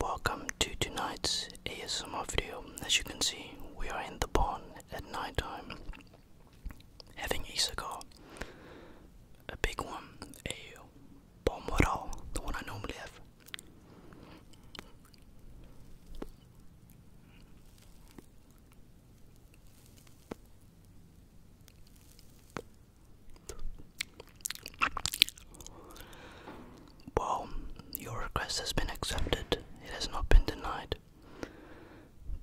Welcome to tonight's ASMR video. As you can see, we are in the barn at night time having a cigar. A big one, a Palmero, the one I normally have. Well, your request has been accepted. It has not been denied.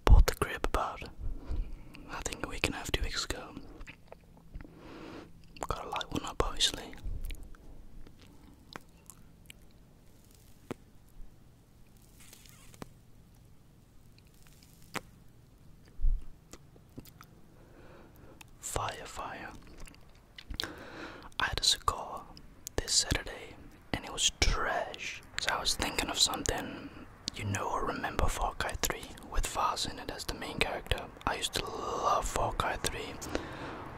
Bought the crib about, I think, a week and two weeks ago. Gotta light one up, obviously. Fire, fire. I had a cigar this Saturday and it was trash. So I was thinking of something you know or remember Far Cry 3 with Vaz in it as the main character. I used to love Far Cry 3.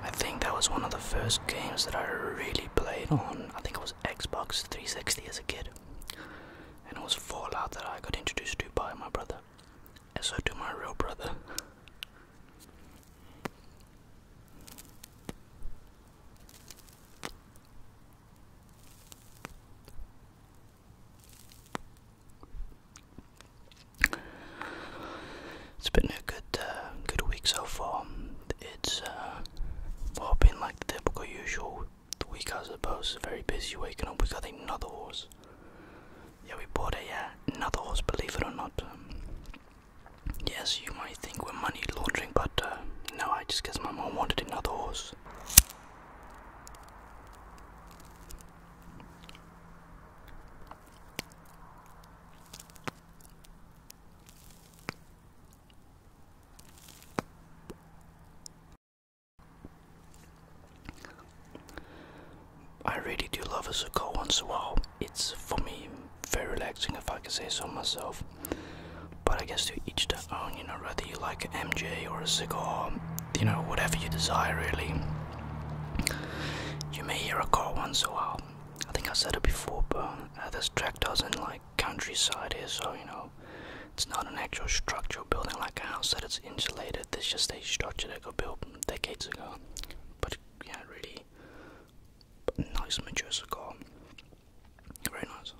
I think that was one of the first games that I really played on. I think it was Xbox 360 as a kid. And it was Fallout that I got introduced to by my brother. As I do my real brother. It's been a good, uh, good week so far. It's uh, been like the typical usual the week, I suppose. Very busy waking up. We got another horse. Yeah, we bought a yeah another horse, believe it or not. Um, yes, you might think we're money laundering, but uh, no, I just guess my mom wanted another horse. I really do love a cigar once in a while. It's for me very relaxing if I can say so myself. But I guess to each their own, you know, whether you like an MJ or a cigar, you know, whatever you desire really. You may hear a car once in a while. I think I said it before, but uh, this track doesn't like countryside here, so you know, it's not an actual structural building like a house that is insulated. It's just a structure that got built decades ago. But yeah, really nice mature cigar. Very nice.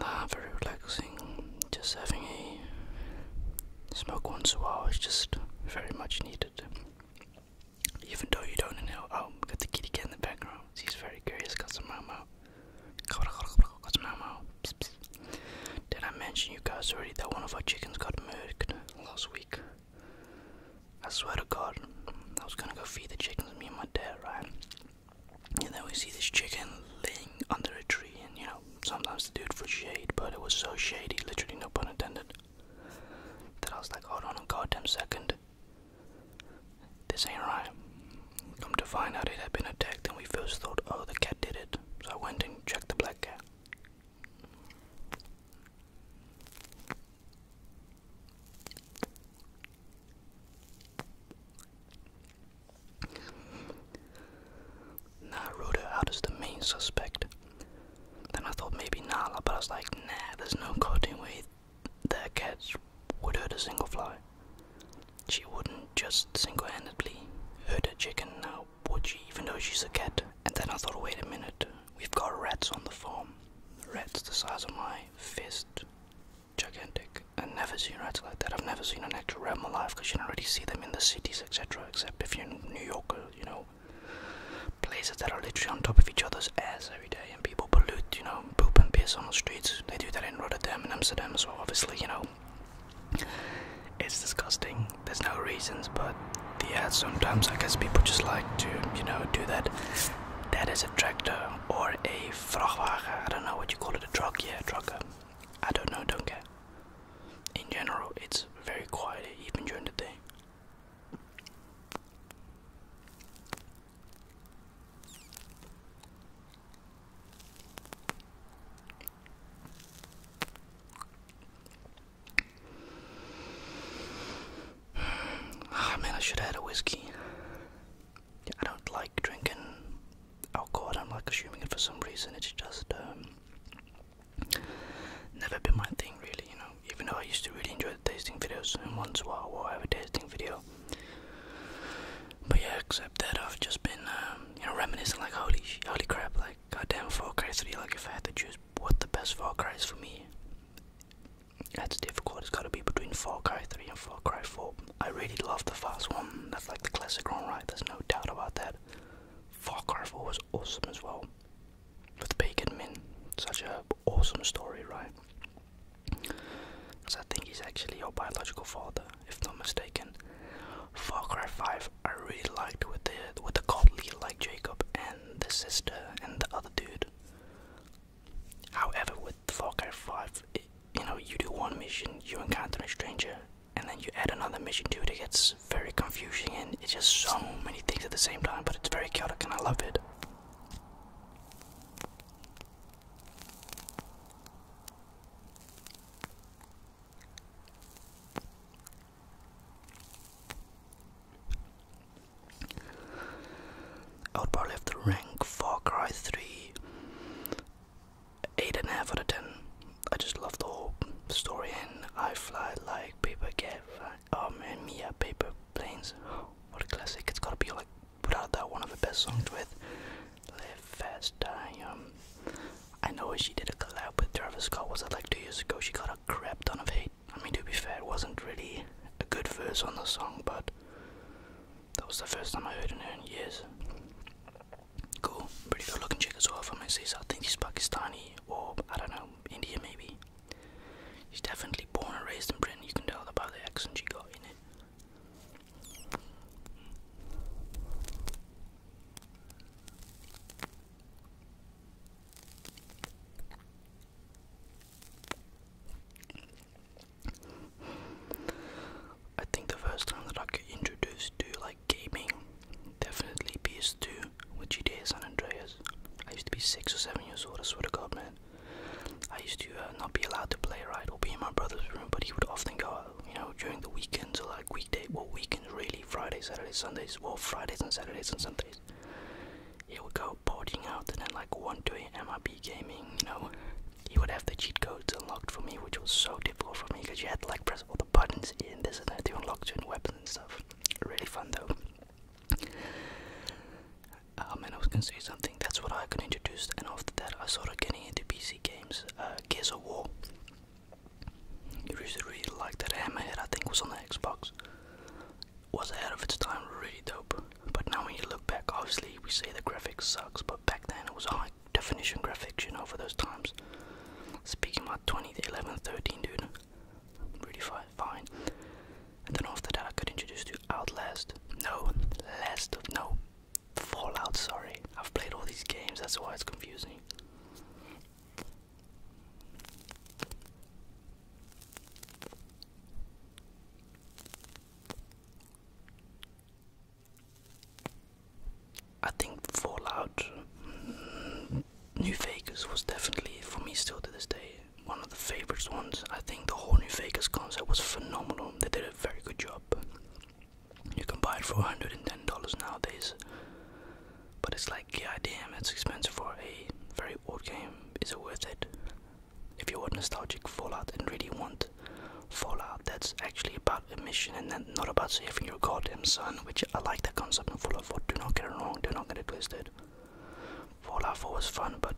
Nah, very relaxing. Just having a smoke once in a while is just very much needed. Even though you don't inhale. Oh, got the kitty cat in the background. She's very curious. Got some mama. Got some mama. Did I mention you guys already that one of our chickens got murdered last week? I swear to God, I was gonna go feed the chickens, me and my dad, right? And then we see this chicken laying under a tree, and you know, sometimes to do it for shade, but it was so shady, literally no pun intended, that I was like, hold on a goddamn second. This ain't right. Come to find out it had been attacked, and we first thought, oh, the cat did it. So I went and checked the black cat. Naruto out as the main suspect. Then I thought maybe Nala, but I was like, nah, there's no goddamn way that cat would hurt a single fly. She wouldn't just single handedly hurt a chicken now, would she, even though she's a cat? And then I thought, wait a minute, we've got rats on the farm. Rats the size of my fist gigantic. I've never seen rats like that. I've never seen an actual rat in my life because you don't really see them in the cities, etc. Except if you're in New York or, uh, you know, places that are literally on top of each other's ass every day and people pollute, you know, poop and piss on the streets. They do that in Rotterdam and Amsterdam as well, obviously, you know. It's disgusting. There's no reasons, but the ads sometimes I guess people just like to, you know, do that. That is a tractor or a vrachtwagen. I don't know what you call it, a truck, yeah, trucker. I don't know, don't care. In general, it's very quiet even during the day. Ah man, I should have a whiskey. I don't like drinking alcohol. I am like assuming it for some reason. It's just um, never been my thing, really. You know, even though I used to really enjoy the tasting videos, and once in a while we'll have a tasting video. But yeah, except that I've just been, um, you know, reminiscing like holy, holy crap, like goddamn Far Cry 3. Like if I had to choose what the best Far Cry is for me, that's difficult. It's got to be between Far Cry 3 and Far Cry 4. I really love the first one. That's like the classic one, right? There's no doubt about that. Far Cry 4 was awesome as well. With Bacon Min. Such a awesome story, right? Because I think he's actually your biological father, if not mistaken. Far Cry 5 I really liked with the with the cult leader like Jacob and the sister and the other dude. However, with with Far Cry 5, you know, you do one mission, you encounter a stranger, and then you add another mission to it. It gets very confusing and it's just so many things at the same time, but it's very chaotic and I love it. I would probably have to rank Far Cry 3 eight and a half out of ten. I just love the whole story, and I fly like paper cat. Um, and Mia paper planes. What a classic! It's gotta be like without that one of the best songs with "Live Fast, Die Um, I know she did a collab with Travis Scott. Was it like two years ago? She got a crap ton of hate. I mean, to be fair, it wasn't really a good verse on the song, but that was the first time I heard of her in years. Cool, pretty good looking chick as well gonna say, I think she's Pakistani or, I don't know, India maybe. She's definitely born and raised in Britain, you can tell by the accent she got in it. I think the first time that I got introduced to like gaming, definitely PS2 which it is San Andreas. I used to be six or seven years old. I swear to God, man. I used to uh, not be allowed to play, right, or be in my brother's room, but he would often go, out, you know, during the weekends or like weekday, well, weekends really, Fridays, Saturdays, Sundays, well, Fridays and Saturdays and Sundays. He would go partying out, and then like 1 day, a.m. i be gaming, you know, he would have the cheat codes unlocked for me, which was so difficult for me because you had to like press all the buttons in this and that to unlock certain weapons and stuff. Really fun though. Um, oh, and I was gonna say something. That's what I got introduced, and after that, I started getting into PC games. Uh, Gears of War. You really, really liked that. Hammerhead, I think, was on the Xbox. Was ahead of its time. Really dope. But now when you look back, obviously we say the graphics sucks, but back then it was high definition graphics, you know, for those times. Speaking about 2011, 13, dude, really fine. fine. And then after that, I got introduce to Outlast. No, Last No, Fallout. Sorry, I've played all these games. That's why it's confusing. I think Fallout mm, New Vegas was definitely, for me still to this day, one of the favorite ones. I think the whole New Vegas concept was phenomenal. They did a very good job. You can buy it for $110 nowadays. But it's like, yeah, it's expensive for a very old game. Is it worth it? if you're nostalgic Fallout and really want Fallout that's actually about a mission and not about saving your goddamn son, which I like that concept in Fallout 4, do not get it wrong, do not get it twisted. Fallout 4 was fun, but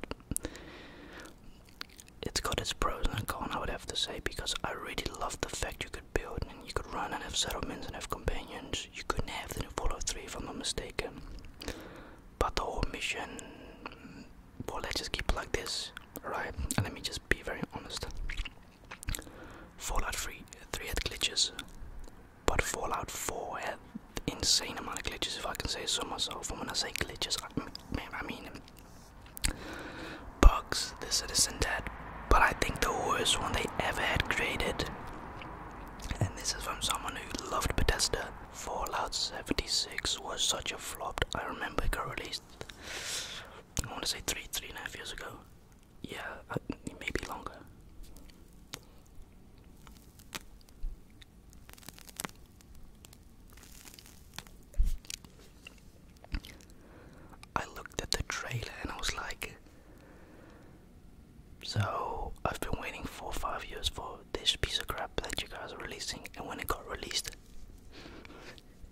it's got its pros and cons, I would have to say, because I really loved the fact you could build and you could run and have settlements and have companions. You couldn't have that in Fallout 3, if I'm not mistaken. But the whole mission but let's just keep it like this, alright. And let me just be very honest. Fallout 3, 3 had glitches, but Fallout 4 had insane amount of glitches, if I can say so myself. And when I say glitches, I mean, bugs, The Citizen Dead, But I think the worst one they ever had created, and this is from someone who loved Bethesda Fallout 76 was such a flop. I remember it got released. I want to say three, three and a half years ago. Yeah, uh, maybe longer. I looked at the trailer and I was like, so I've been waiting for five years for this piece of crap that you guys are releasing and when it got released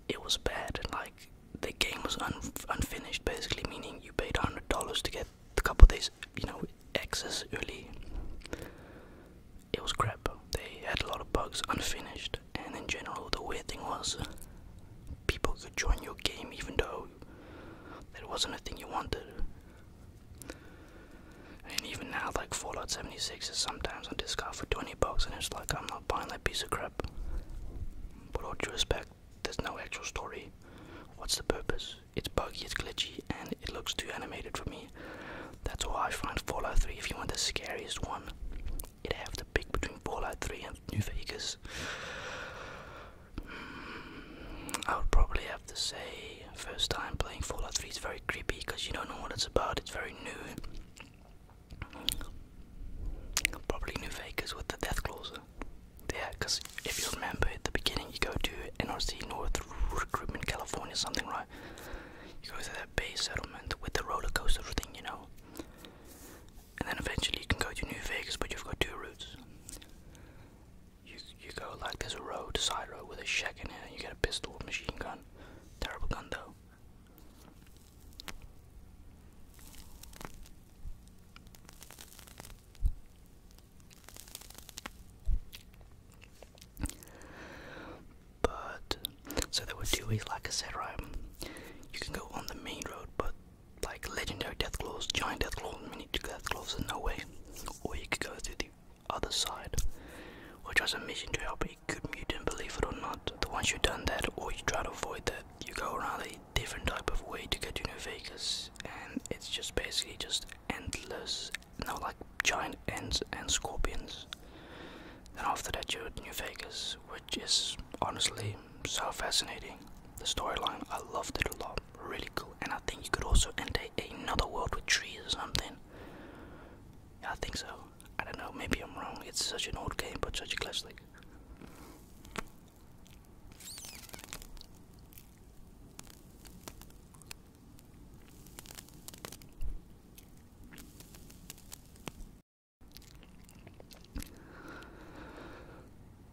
it was bad like the game was unfinished basically meaning you paid $100 to get a couple days you know access early it was crap they had a lot of bugs unfinished and in general the weird thing was people could join your game even though it wasn't a thing you wanted and even now, like Fallout 76 is sometimes on discount for 20 bucks, and it's like I'm not buying that piece of crap. But all due respect, there's no actual story. What's the purpose? It's buggy, it's glitchy, and it looks too animated for me. That's why I find Fallout 3, if you want the scariest one, you'd have to pick between Fallout 3 and New Vegas. Hmm, I would probably have to say, first time playing Fallout 3 is very creepy because you don't know what it's about. It's very new. Probably New Vegas with the death Yeah, because if you remember at the beginning, you go to NRC North Recruitment, California, something right. You go to that base settlement with the roller coaster thing, you know. And then eventually you can go to New Vegas, but you've got two routes. You you go like there's a road, side road with a shack in it, you get a pistol, machine gun. Terrible gun though. But so there were two ways, like I said, right? You can go on the main road, but like legendary deathclaws, giant deathclaws, mini deathclaws, there's no way. Or you could go through the other side, which was a mission to help a good mutant, believe it or not. But once you've done that, or you try to avoid that, you go around a different type of way to get to New Vegas, and it's just basically just endless, you like giant ants and scorpions. And after that, you're at New Vegas, which is honestly so fascinating. The storyline, I loved it a lot, really cool. And I think you could also enter another world with trees or something. I think so. I don't know, maybe I'm wrong. It's such an old game, but such a classic.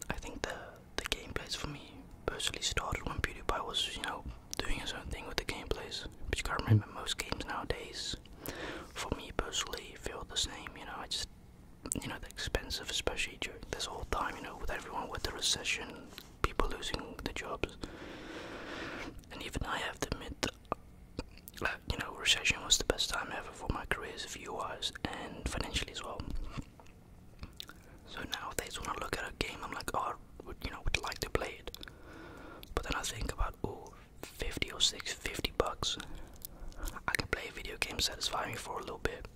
I think the the game plays for me personally started when PewDiePie was, you know, doing his own thing with the gameplays. But you can't remember, most games nowadays, for me personally, feel the same. You know, I just, you know, the expensive, especially during this whole time, you know, with everyone with the recession, people losing their jobs. And even I have to admit, that, you know, recession was the best time ever for my career careers, view-wise, and financially as well. So now, nowadays, when I look at a game, I'm like, oh, would, you know, would like to play it. But then I think about, oh, 50 or six, fifty bucks. I can play a video game, satisfy me for a little bit.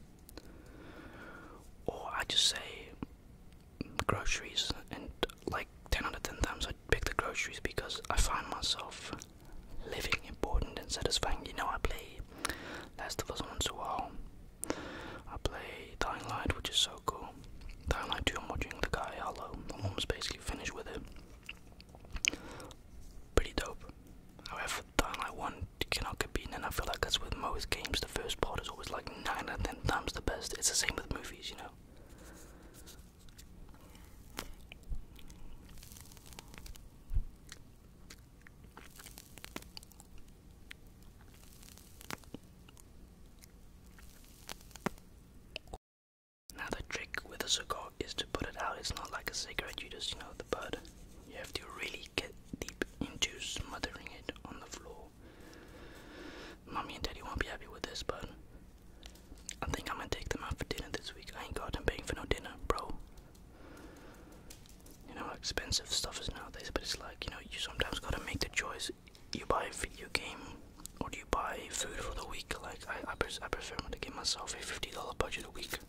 Or I just say groceries, and like 10 out of 10 times I pick the groceries because I find myself living important and satisfying. You know, I play Last of Us once a while. I play Dying Light, which is so cool. Dying Light 2, I'm watching the guy Hello, the am almost basically finished with it. Pretty dope. However, Dying Light 1 cannot get and I feel like that's with most games. The first part is always like 9 and of 10 times the best. It's the same with movies, you know. Now the trick with a cigar is to put it out. It's not like a cigarette, you just, you know, the bud. You have to really get deep into smothering it on the floor. Mommy and daddy won't be happy with this, but I think I'm gonna take them out for dinner this week. I ain't got them paying for no dinner, bro you know how expensive stuff is nowadays, but it's like, you know, you sometimes gotta make the choice. You buy a video game or do you buy food for the week? Like, I, I, pres I prefer to give myself a $50 budget a week.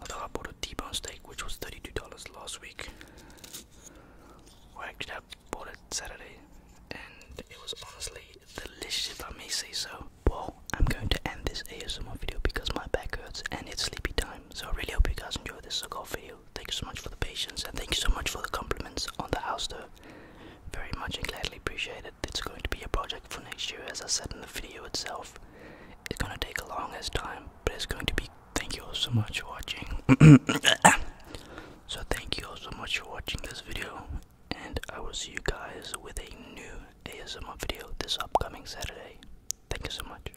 I thought I bought a T-bone steak, which was $32 last week. I actually, bought it Saturday, and it was honestly delicious, if I may say so. Well, I'm going to end this ASMR video because my back hurts and it's sleepy time. So I really hope you guys enjoyed this so-called video. Thank you so much for the patience and thank you so much for the compliments on the house tour. Very much and gladly appreciate it. It's going to be a project for next year as I said in the video itself. It's gonna take a long as time, but it's going to be thank you all so much for watching. so thank you all so much for watching this video and I will see you guys with a new ASMR video this upcoming Saturday. Thank you so much.